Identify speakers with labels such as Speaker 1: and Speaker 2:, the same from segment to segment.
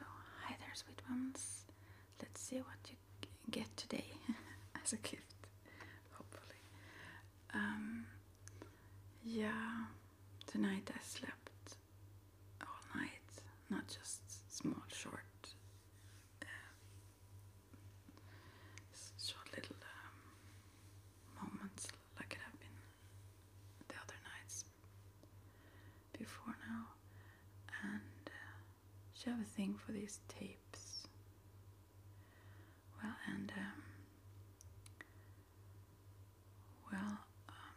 Speaker 1: hi there, sweet ones. Let's see what you get today as a gift, hopefully. Um, yeah, tonight I slept all night, not just small, short, uh, short little um, moments like it have been the other nights before now, and uh, she have a thing for these tapes. Well, and um, well, um,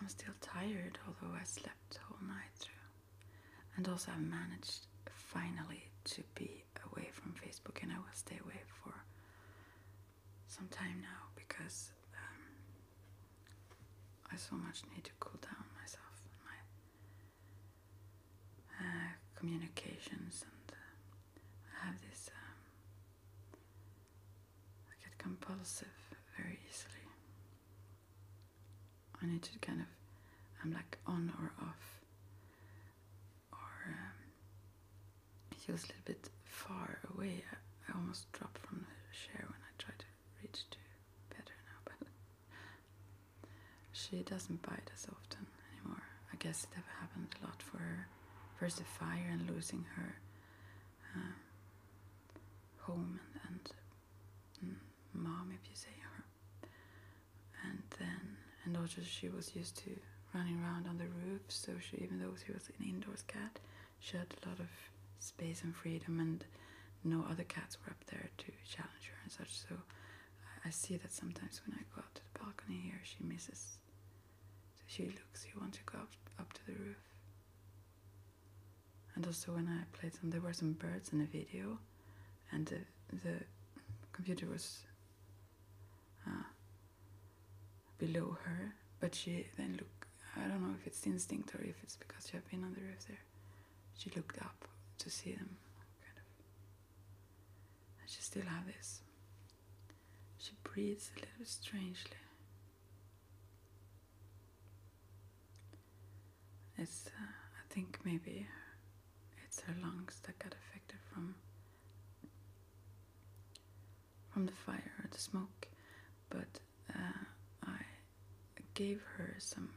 Speaker 1: I'm still tired, although I slept the whole night through, and also I managed finally to be away from Facebook, and I will stay away for some time now because um, I so much need to cool down myself and my uh, communications, and uh, I have this. Um, I get compulsive very easily. I need to kind of. I'm like on or off, or um, feels a little bit far away. I almost dropped from the chair when I tried to reach to better now, but she doesn't bite as often anymore. I guess it happened a lot for her. First the fire and losing her um, home and, and mm, mom, if you say her. And then, and also she was used to running around on the roof, so she, even though she was an indoors cat, she had a lot of space and freedom, and no other cats were up there to challenge her and such. So I, see that sometimes when I go out to the balcony here, she misses. So she looks, She wants to go up, up to the roof. And also when I played some, there were some birds in the video, and the, the computer was. Uh, below her, but she then looked. I don't know if it's instinct or if it's because she had been on the roof there. She looked up to see them, kind of. she still has this. She breathes a little strangely. It's, uh, I think maybe it's her lungs that got affected from from the fire or the smoke, but uh, I gave her some.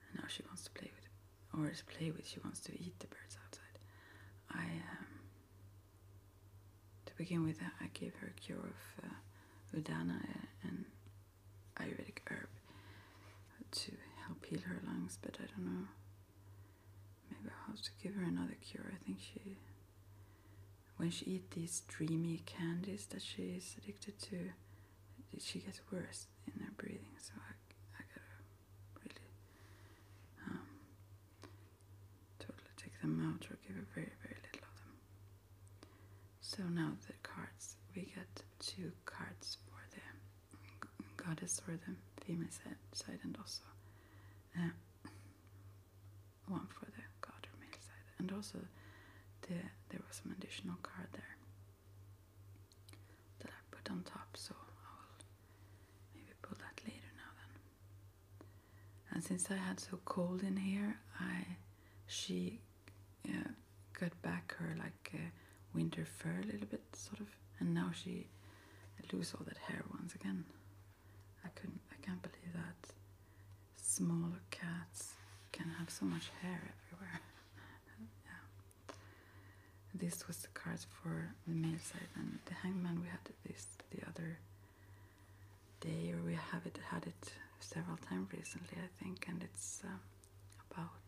Speaker 1: Uh, now she wants to play with, or is play with. She wants to eat the birds outside. I um, to begin with, uh, I gave her a cure of udana and Ayurvedic herb to help heal her lungs, but I don't know. Maybe I'll have to give her another cure. I think she when she eats these dreamy candies that she is addicted to, she gets worse in her breathing. So I, I gotta really um, totally take them out or give her very, very little of them. So now the cards. We get two cards for the goddess or the female side, and also uh, one for the card or mail side, and also the there was some additional card there that I put on top, so I will maybe pull that later now then. And since I had so cold in here, I she uh, got back her like uh, winter fur a little bit, sort of, and now she lose all that hair once again. I couldn't I can't believe that smaller cats can have so much hair everywhere. yeah. This was the card for the male side and the hangman we had this the other day or we have it had it several times recently I think and it's um, about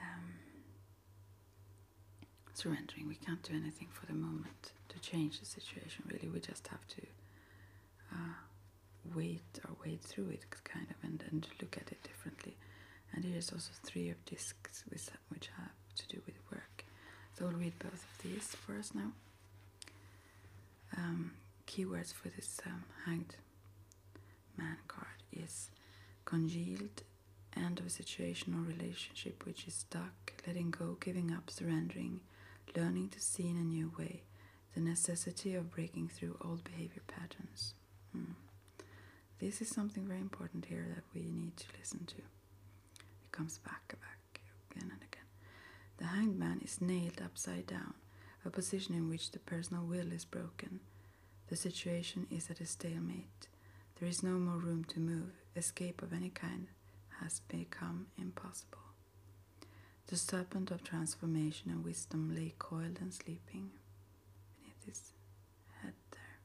Speaker 1: um, surrendering. We can't do anything for the moment to change the situation really. We just have to uh, wait or wait through it kind of and, and look at it differently. And there is also three of discs which have to do with work. So we will read both of these for us now. Um, keywords for this um, hanged man card is congealed, end of a situation or relationship which is stuck, letting go, giving up, surrendering, learning to see in a new way, the necessity of breaking through old behavior patterns. Hmm. This is something very important here that we need to listen to. It comes back and back again and again. The hangman is nailed upside down, a position in which the personal will is broken. The situation is at a stalemate. There is no more room to move, escape of any kind has become impossible. The serpent of transformation and wisdom lay coiled and sleeping beneath his head there.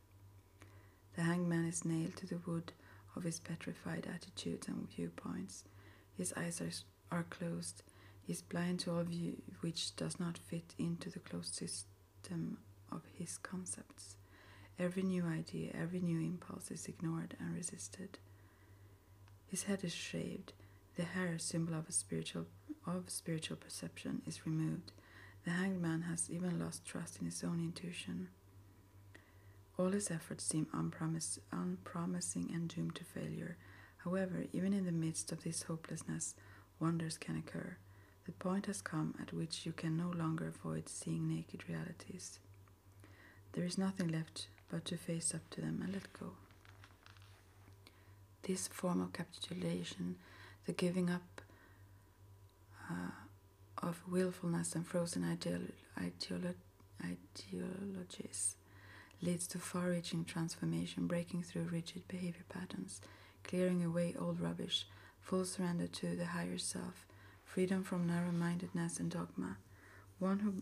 Speaker 1: The hangman is nailed to the wood of his petrified attitudes and viewpoints. His eyes are, are closed. He is blind to all view which does not fit into the closed system of his concepts. Every new idea, every new impulse is ignored and resisted. His head is shaved. The hair, symbol of spiritual of spiritual perception, is removed. The hanged man has even lost trust in his own intuition. All his efforts seem unpromising and doomed to failure. However, even in the midst of this hopelessness, wonders can occur. The point has come at which you can no longer avoid seeing naked realities. There is nothing left but to face up to them and let go. This form of capitulation, the giving up uh, of willfulness and frozen ideologies, leads to far reaching transformation, breaking through rigid behavior patterns, clearing away old rubbish, full surrender to the higher self, freedom from narrow mindedness and dogma, one who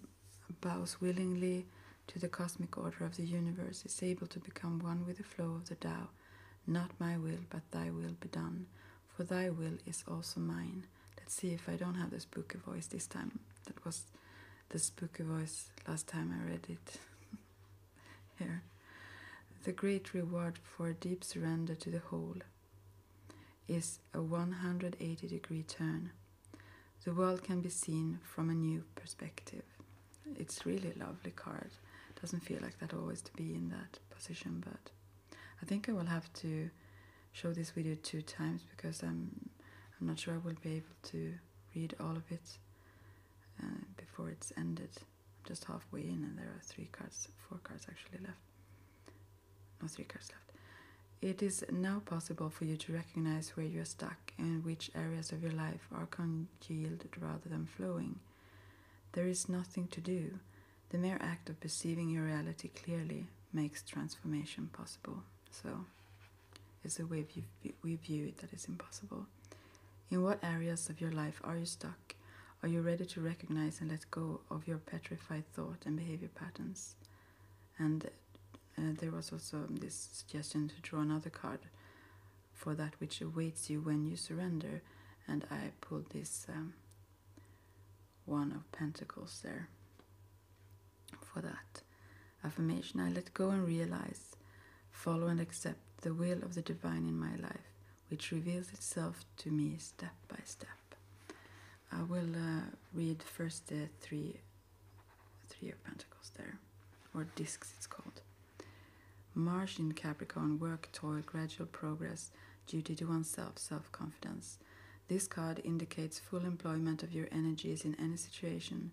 Speaker 1: bows willingly to the cosmic order of the universe is able to become one with the flow of the Tao. Not my will, but thy will be done, for thy will is also mine. Let's see if I don't have the spooky voice this time. That was the spooky voice last time I read it. Here. The great reward for deep surrender to the whole is a 180 degree turn. The world can be seen from a new perspective. It's really lovely card. Doesn't feel like that always to be in that position, but I think I will have to show this video two times because I'm I'm not sure I will be able to read all of it uh, before it's ended. I'm just halfway in, and there are three cards, four cards actually left no three cards left. It is now possible for you to recognize where you are stuck and which areas of your life are congealed rather than flowing. There is nothing to do. The mere act of perceiving your reality clearly makes transformation possible. So, it's the way we view it that is impossible. In what areas of your life are you stuck? Are you ready to recognize and let go of your petrified thought and behavior patterns. And uh, there was also this suggestion to draw another card for that which awaits you when you surrender. And I pulled this um, one of pentacles there for that. Affirmation I let go and realize, follow and accept the will of the divine in my life, which reveals itself to me step by step. I will uh, read first the uh, three, three of Pentacles there, or discs it's called. Mars in Capricorn, work, toil, gradual progress, duty to oneself, self confidence. This card indicates full employment of your energies in any situation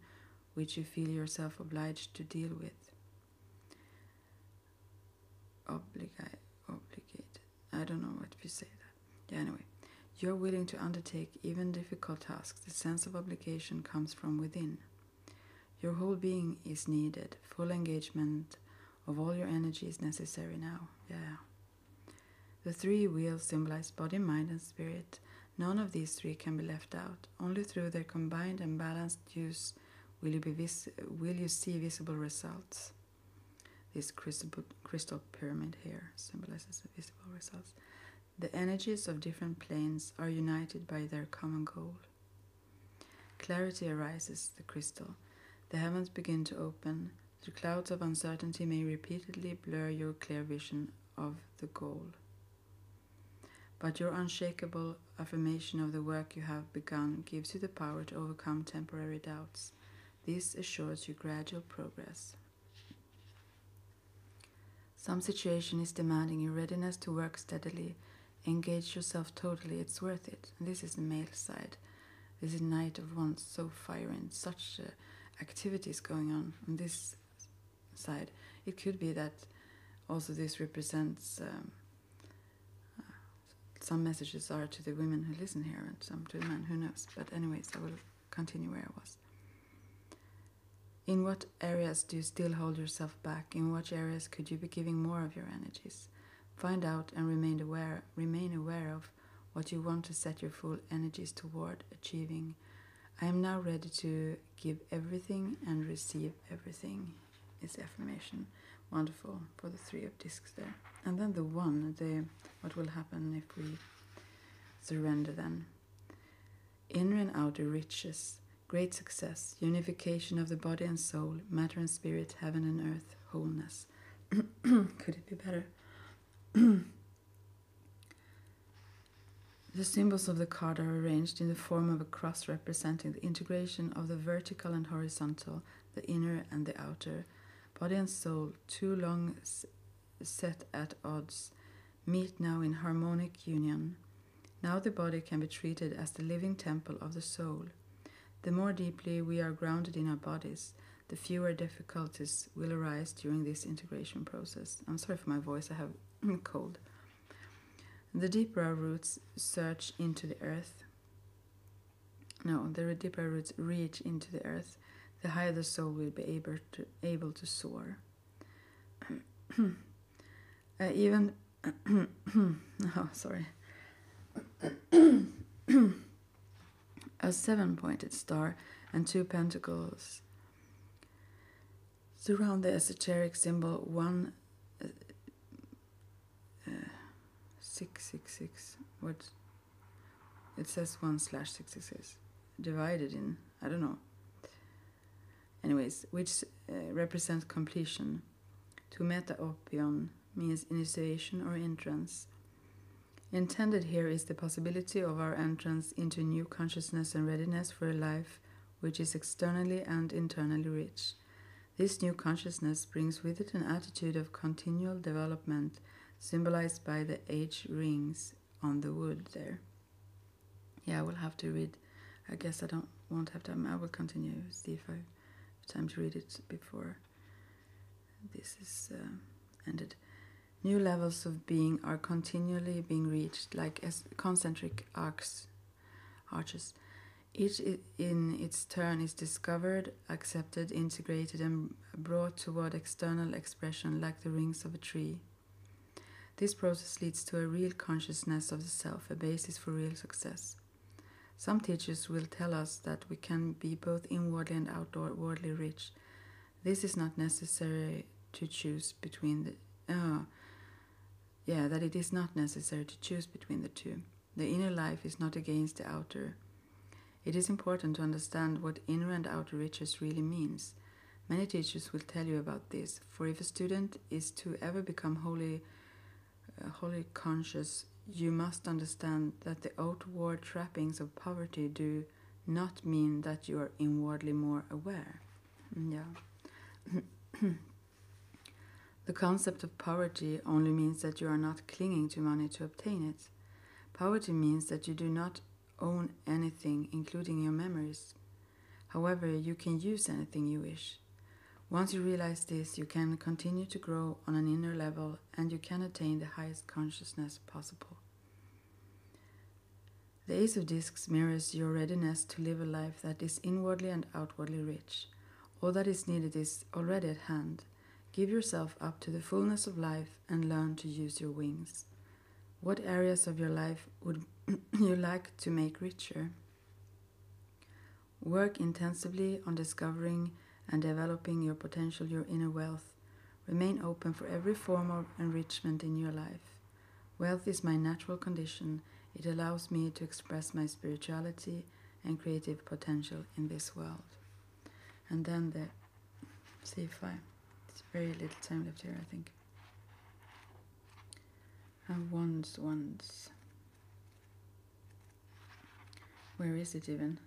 Speaker 1: which you feel yourself obliged to deal with. Obligate, obligated. I don't know what we say that. Yeah, anyway, you're willing to undertake even difficult tasks. The sense of obligation comes from within. Your whole being is needed. Full engagement of all your energy is necessary now. Yeah. The three wheels symbolize body, mind, and spirit. None of these three can be left out. Only through their combined and balanced use will you, be vis- will you see visible results. This crystal, pyramid here symbolizes the visible results. The energies of different planes are united by their common goal. Clarity arises the crystal. The heavens begin to open. The clouds of uncertainty may repeatedly blur your clear vision of the goal. But your unshakable affirmation of the work you have begun gives you the power to overcome temporary doubts this assures you gradual progress. Some situation is demanding your readiness to work steadily, engage yourself totally, it's worth it. This is the male side. This is night of one's so fire and such uh, activities going on on this side. It could be that also this represents um, some messages are to the women who listen here and some to the men, who knows. But, anyways, I will continue where I was. In what areas do you still hold yourself back? In what areas could you be giving more of your energies? Find out and remain aware, remain aware of what you want to set your full energies toward achieving. I am now ready to give everything and receive everything is affirmation. Wonderful for the three of discs there. And then the one, the what will happen if we surrender then. Inner and outer riches, great success, unification of the body and soul, matter and spirit, heaven and earth, wholeness. Could it be better? the symbols of the card are arranged in the form of a cross representing the integration of the vertical and horizontal, the inner and the outer, Body and soul, too long set at odds, meet now in harmonic union. Now the body can be treated as the living temple of the soul. The more deeply we are grounded in our bodies, the fewer difficulties will arise during this integration process. I'm sorry for my voice, I have cold. The deeper our roots search into the earth, no, the deeper roots reach into the earth, the higher the soul will be able to able to soar. even oh, sorry. a seven-pointed star and two pentacles surround the esoteric symbol one uh, uh, six six six. uh, What it says 1 slash 66 divided in, I don't know. Anyways, which uh, represents completion. To metaopion means initiation or entrance. Intended here is the possibility of our entrance into new consciousness and readiness for a life which is externally and internally rich. This new consciousness brings with it an attitude of continual development symbolized by the H rings on the wood there. Yeah, I will have to read. I guess I don't won't have time. I will continue, see if I have time to read it before this is uh, ended. New levels of being are continually being reached, like as concentric arcs, arches. Each in its turn is discovered accepted, integrated, and brought toward external expression like the rings of a tree. This process leads to a real consciousness of the self, a basis for real success. Some teachers will tell us that we can be both inwardly and outwardly rich. This is not necessary to choose between the. Uh, yeah, that it is not necessary to choose between the two. The inner life is not against the outer. It is important to understand what inner and outer riches really means. Many teachers will tell you about this, for if a student is to ever become wholly, uh, wholly conscious, you must understand that the outward trappings of poverty do not mean that you are inwardly more aware. Mm, yeah. the concept of poverty only means that you are not clinging to money to obtain it. Poverty means that you do not own anything, including your memories. However, you can use anything you wish. Once you realize this, you can continue to grow on an inner level and you can attain the highest consciousness possible. The Ace of Discs mirrors your readiness to live a life that is inwardly and outwardly rich. All that is needed is already at hand. Give yourself up to the fullness of life and learn to use your wings? What areas of your life would you like to make richer? Work intensively on discovering and developing your potential, your inner wealth. Remain open for every form of enrichment in your life. Wealth is my natural condition. It allows me to express my spirituality and creative potential in this world. And then the See if I. It's very little time left here, I think. And once, once. Where is it even?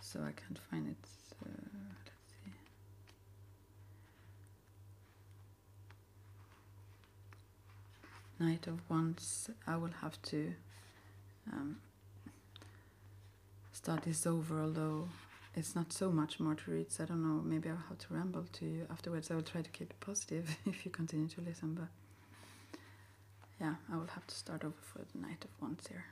Speaker 1: So I can't find it. So let's see. Knight of once. I will have to um, start this over, although it's not so much more to read. So I don't know, maybe I'll have to ramble to you afterwards. I will try to keep it positive if you continue to listen, but yeah, I will have to start over for the night of once here.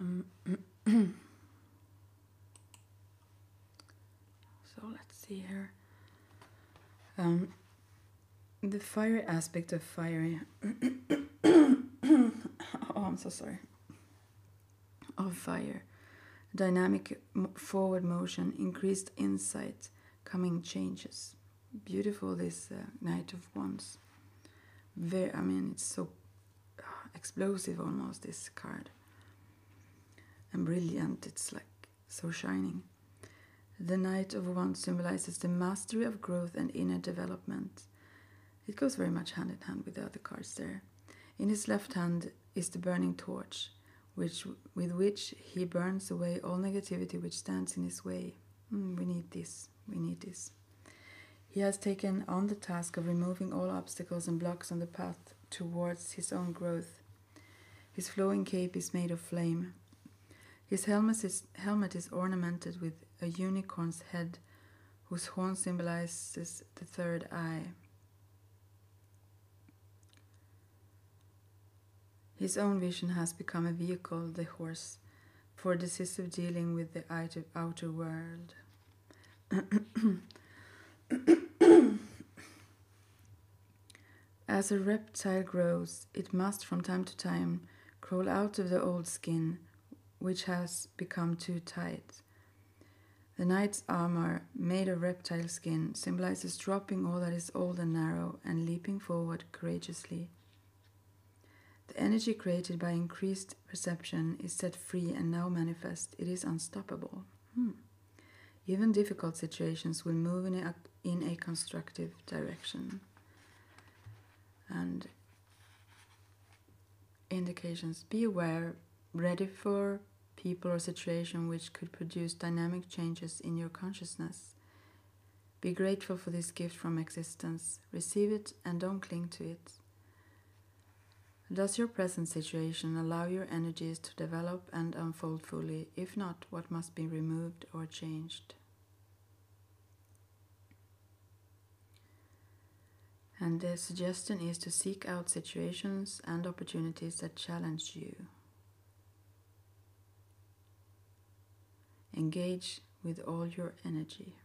Speaker 1: Um, so let's see here. Um, the fiery aspect of fire. oh, I'm so sorry. Of fire. Dynamic forward motion, increased insight, coming changes. Beautiful, this uh, Knight of Wands. Very, I mean, it's so explosive almost, this card. And brilliant, it's like so shining. The Knight of Wands symbolizes the mastery of growth and inner development. It goes very much hand in hand with the other cards there. In his left hand is the burning torch, which with which he burns away all negativity which stands in his way. Hmm, we need this. We need this. He has taken on the task of removing all obstacles and blocks on the path towards his own growth. His flowing cape is made of flame. His helmet is, ornamented with a unicorn's head, whose horn symbolizes the third eye. His own vision has become a vehicle, the horse, for decisive dealing with the outer world. As a reptile grows, it must from time to time crawl out of the old skin, which has become too tight. The knight's armor, made of reptile skin, symbolizes dropping all that is old and narrow and leaping forward courageously. The energy created by increased perception is set free and now manifest, it is unstoppable. Hmm. Even difficult situations will move in a, in a constructive direction. And indications be aware, ready for people or situation which could produce dynamic changes in your consciousness. Be grateful for this gift from existence. Receive it and don't cling to it. Does your present situation allow your energies to develop and unfold fully? If not, what must be removed or changed? And the suggestion is to seek out situations and opportunities that challenge you. Engage with all your energy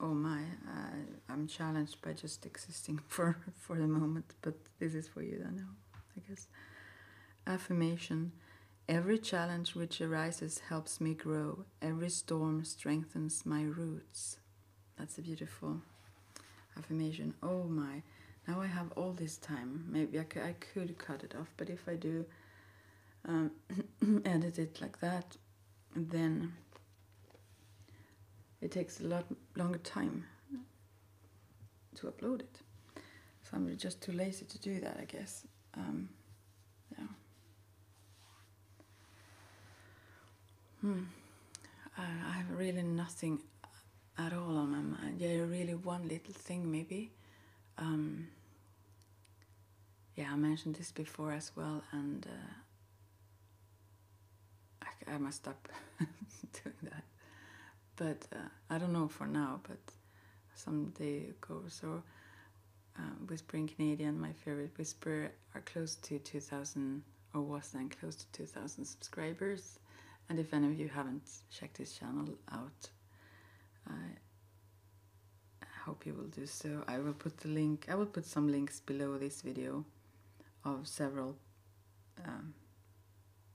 Speaker 1: oh my, I, am challenged by just existing for, for the moment, but this is for you I know. I guess. Affirmation Every challenge which arises helps me grow, every storm strengthens my roots. That's a beautiful affirmation. Oh my, now I have all this time. Maybe I could, I could cut it off, but if I do um, edit it like that, and then it takes a lot longer time to upload it. So I'm just too lazy to do that, I guess. Um, yeah. Hmm. I, have really nothing at all on my mind. Yeah, really one little thing maybe. Um, yeah, I mentioned this before as well, and uh, I, must stop doing that. But uh, I don't know for now, but someday ago or so, um, Whispering Canadian, my favorite whisper, are close to 2,000 or was then close to 2,000 subscribers. And if any of you haven't checked this channel out, I hope you will do so. I will put the link, I will put some links below this video of several um,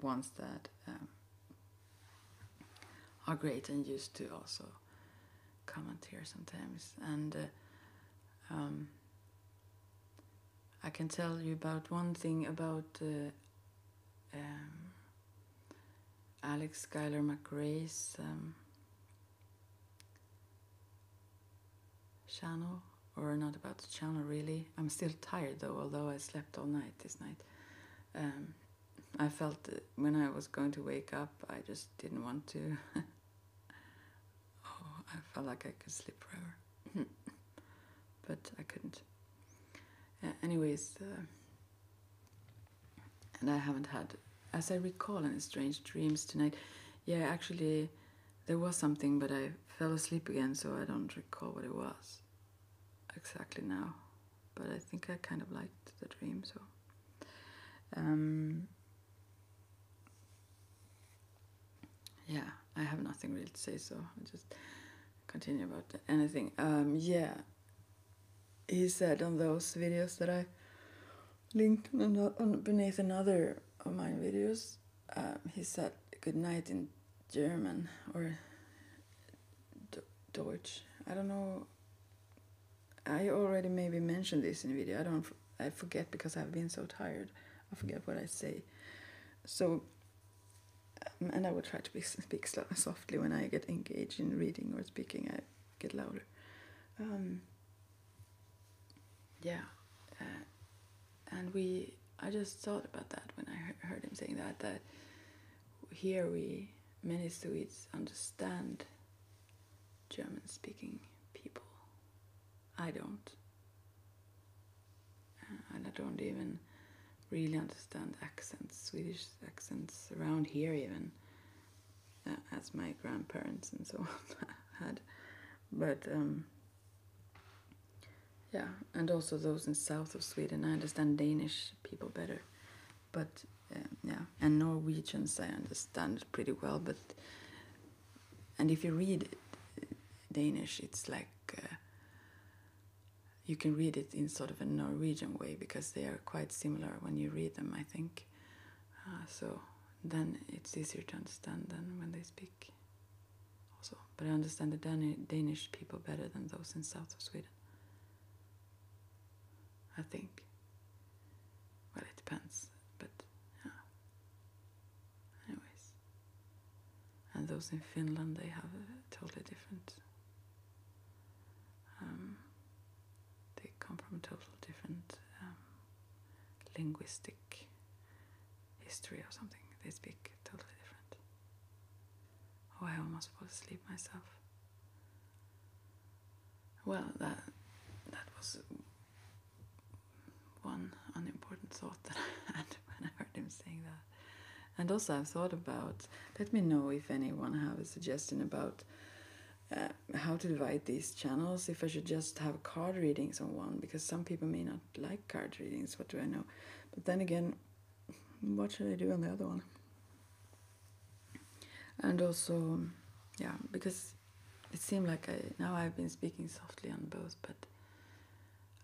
Speaker 1: ones that um, are great and used to also comment here sometimes. And uh, um, I can tell you about one thing about uh, Alex Skylar McRae's channel or not about the channel really. I'm still tired though, although I slept all night this night. Um, I felt when I was going to wake up, I just didn't want to. oh, I felt like I could sleep forever, but I couldn't. Uh, anyways, uh, and I haven't had, as I recall, any strange dreams tonight. Yeah, actually, there was something, but I fell asleep again, so I don't recall what it was exactly now. But I think I kind of liked the dream, so. Um, yeah, I have nothing really to say, so I'll just continue about anything. Um, yeah, he said on those videos that I linked beneath another of my videos, um, he said good night in German or Deutsch. I don't know. I already maybe mentioned this in video. I don't. I forget because I've been so tired. I forget what I say. So, um, and I will try to speak softly when I get engaged in reading or speaking. I get louder. Um, yeah, and we I just thought about that when I heard him saying that that here we many Swedes understand German speaking people. I don't. Uh, and I don't even really understand accents, Swedish accents around here, even uh, as my grandparents and so on had. But um, yeah, and also those in south of Sweden. I understand Danish people better, but um, yeah, and Norwegians I understand pretty well. But and if you read Danish, it's like uh, you can read it in sort of a Norwegian way because they are quite similar when you read them. I think uh, so then it's easier to understand than when they speak also. But I understand the Dan Danish people better than those in south of Sweden. I think. Well, it depends, but yeah. Anyways. And those in Finland, they have a totally different. Um, they come from a totally different um, linguistic history or something. They speak totally different. Oh, I almost fell asleep myself. Well, that that was one unimportant thought that I had when I heard him saying that. And also, i thought about. Let me know if anyone have a suggestion about uh, how to divide these channels, if I should just have card readings on one, because some people may not like card readings, what do I know? But then again, what should I do on the other one? And also, yeah, because it seemed like I now I've been speaking softly on both, but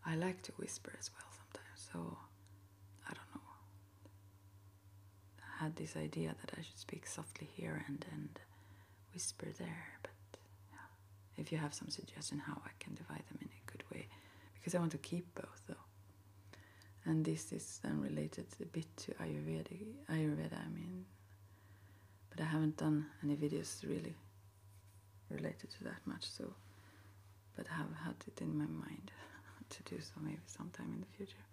Speaker 1: I like to whisper as well sometimes. So I don't know. I had this idea that I should speak softly here and and whisper there. But if you have some suggestion how I can divide them in a good way, because I want to keep both though. And this is then related a bit to Ayurveda. Ayurveda, I mean, but I haven't done any videos really related to that much. So, but I have had it in my mind to do so maybe sometime in the future.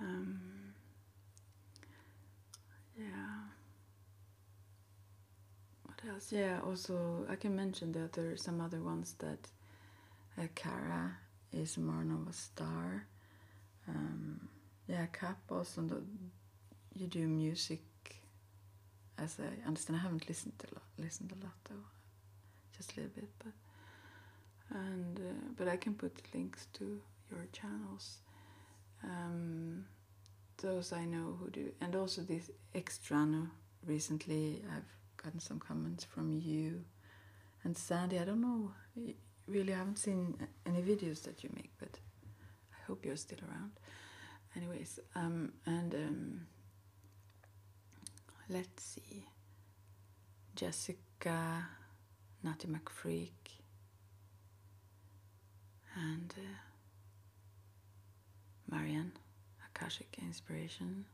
Speaker 1: Um, yeah. What else? Yeah, also I can mention that there are some other ones that uh, Kara is more of a star. Um, yeah, Cap also. you do music, as I understand. I haven't listened to lot, listened a lot though, just a little bit, but and uh, but I can put links to your channels. Um, those I know who do, and also this extrano. Recently, I've gotten some comments from you and Sandy. I don't know, really, I haven't seen any videos that you make, but I hope you're still around. Anyways, um, and um, let's see, Jessica, Natty McFreak, and uh, Marianne, a Akashic Inspiration.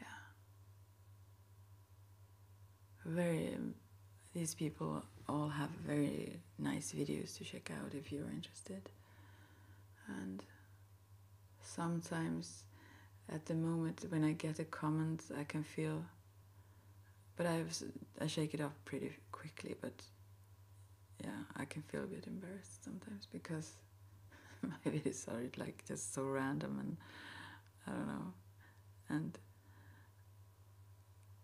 Speaker 1: Yeah. Very, um, these people all have very nice videos to check out if you're interested. And sometimes at the moment when I get a comment, I can feel but I was, I shake it off pretty quickly. But yeah, I can feel a bit embarrassed sometimes because my videos are like just so random and I don't know, and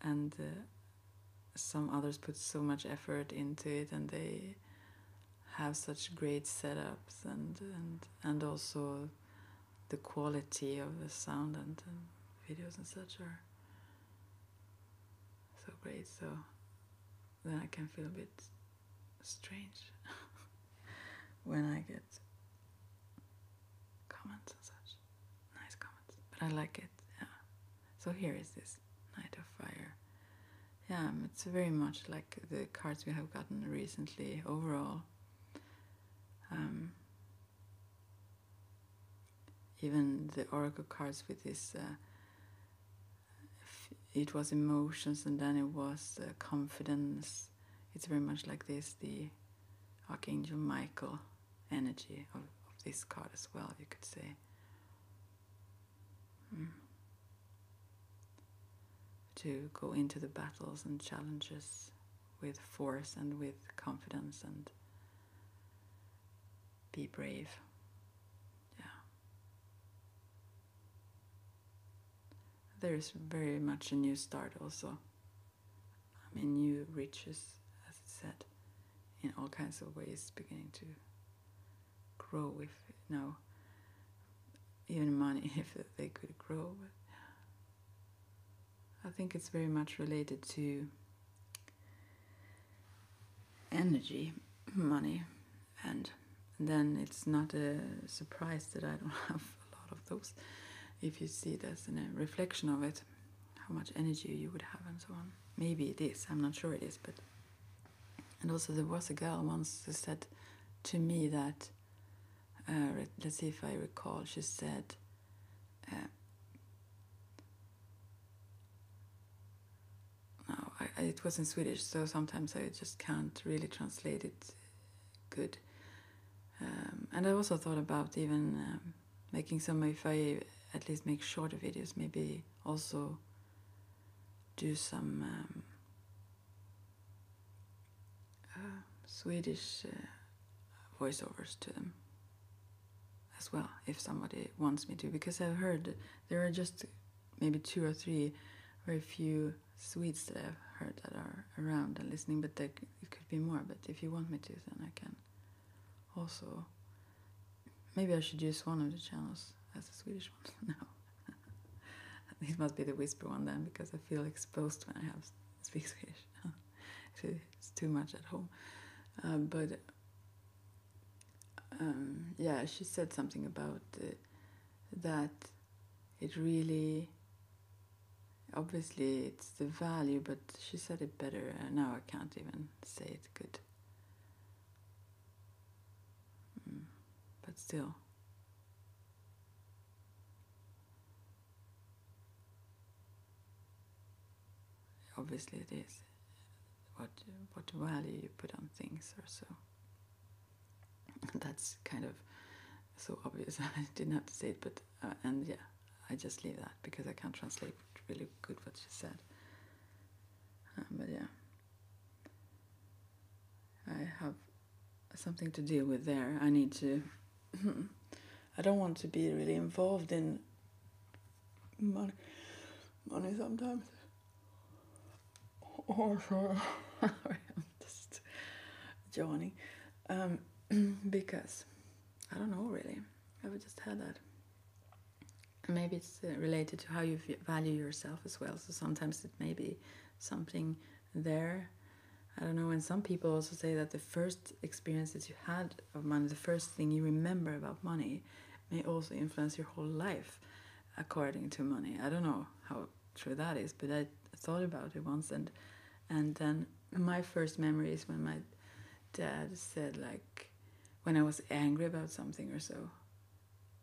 Speaker 1: and uh, some others put so much effort into it and they have such great setups and and and also the quality of the sound and the videos and such are so great. So then I can feel a bit strange when I get comments and such. Nice comments. But I like it, yeah. So here is this Knight of Fire. Yeah, um, it's very much like the cards we have gotten recently overall. Um, even the oracle cards with this, uh, it was emotions and then it was uh, confidence. It's very much like this the Archangel Michael energy of, this card as well, you could say. Mm. To go into the battles and challenges with force and with confidence and be brave. Yeah. There's very much a new start also. I mean, new riches, as it said, in all kinds of ways, beginning to grow if, you even money if they could grow. I think it's very much related to energy, money, and then it's not a surprise that I don't have a lot of those. If you see it as a reflection of it, how much energy you would have, and so on. Maybe it is, I'm not sure it is, but. And also, there was a girl once who said to me that, uh, let's see if I recall, she said, uh, no, I, it was in Swedish, so sometimes I just can't really translate it good. Um, and I also thought about even um, making some, if I at least make shorter videos, maybe also do some um, uh, Swedish uh, voiceovers to them as well if somebody wants me to because I've heard there are just maybe two or three very few Swedes that I've heard that are around and listening but it could be more but if you want me to then I can also maybe I should use one of the channels as the Swedish one No, this must be the whisper one then because I feel exposed when I have speak Swedish it's too much at home. Uh, but um, yeah, she said something about that it really, obviously, it's the value, but she said it better. now I can't even say it good. Mm, but still. Obviously, it is what what value you put on things, or so. That's kind of so obvious. I didn't have to say it, but uh, and yeah, I just leave that because I can't translate really good what she said. Um, but yeah, I have something to deal with there. I need to Hmm. I don't want to be really involved in money, money sometimes. Or just joining um, because I don't know really. I've just had that. maybe it's uh, related to how you value yourself as well. So sometimes it may be something there I don't know, and some people also say that the first experience that you had of money, the first thing you remember about money, may also influence your whole life according to money. I don't know how true that is, but I thought about it once, and and then my first memories when my dad said like when I was angry about something or so,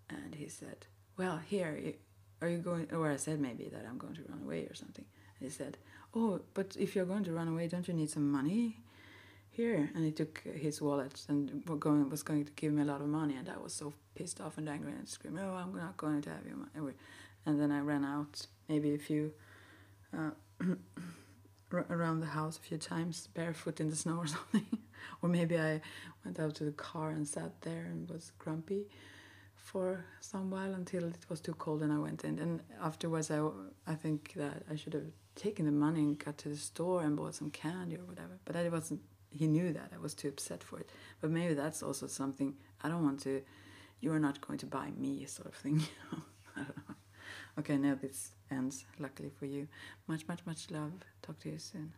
Speaker 1: and he said, "Well, here, are you going?" Or I said maybe that I'm going to run away or something, he said, Oh, but if you're going to run away, don't you need some money? Here. And he took his wallet and was going to give me a lot of money. And I was so pissed off and angry and screamed, Oh, I'm not going to have your money. And then I ran out maybe a few. Uh, around the house a few times barefoot in the snow or something or maybe i went out to the car and sat there and was grumpy for some while until it was too cold and I went in. And afterwards, I, I think that I should have taken the money and got to the store and bought some candy or whatever. But I wasn't. He knew that I was too upset for it. But maybe that's also something I don't want to. You are not going to buy me, a sort of thing. Okay, now this ends. Luckily for you, much, much, much love. Talk to you soon.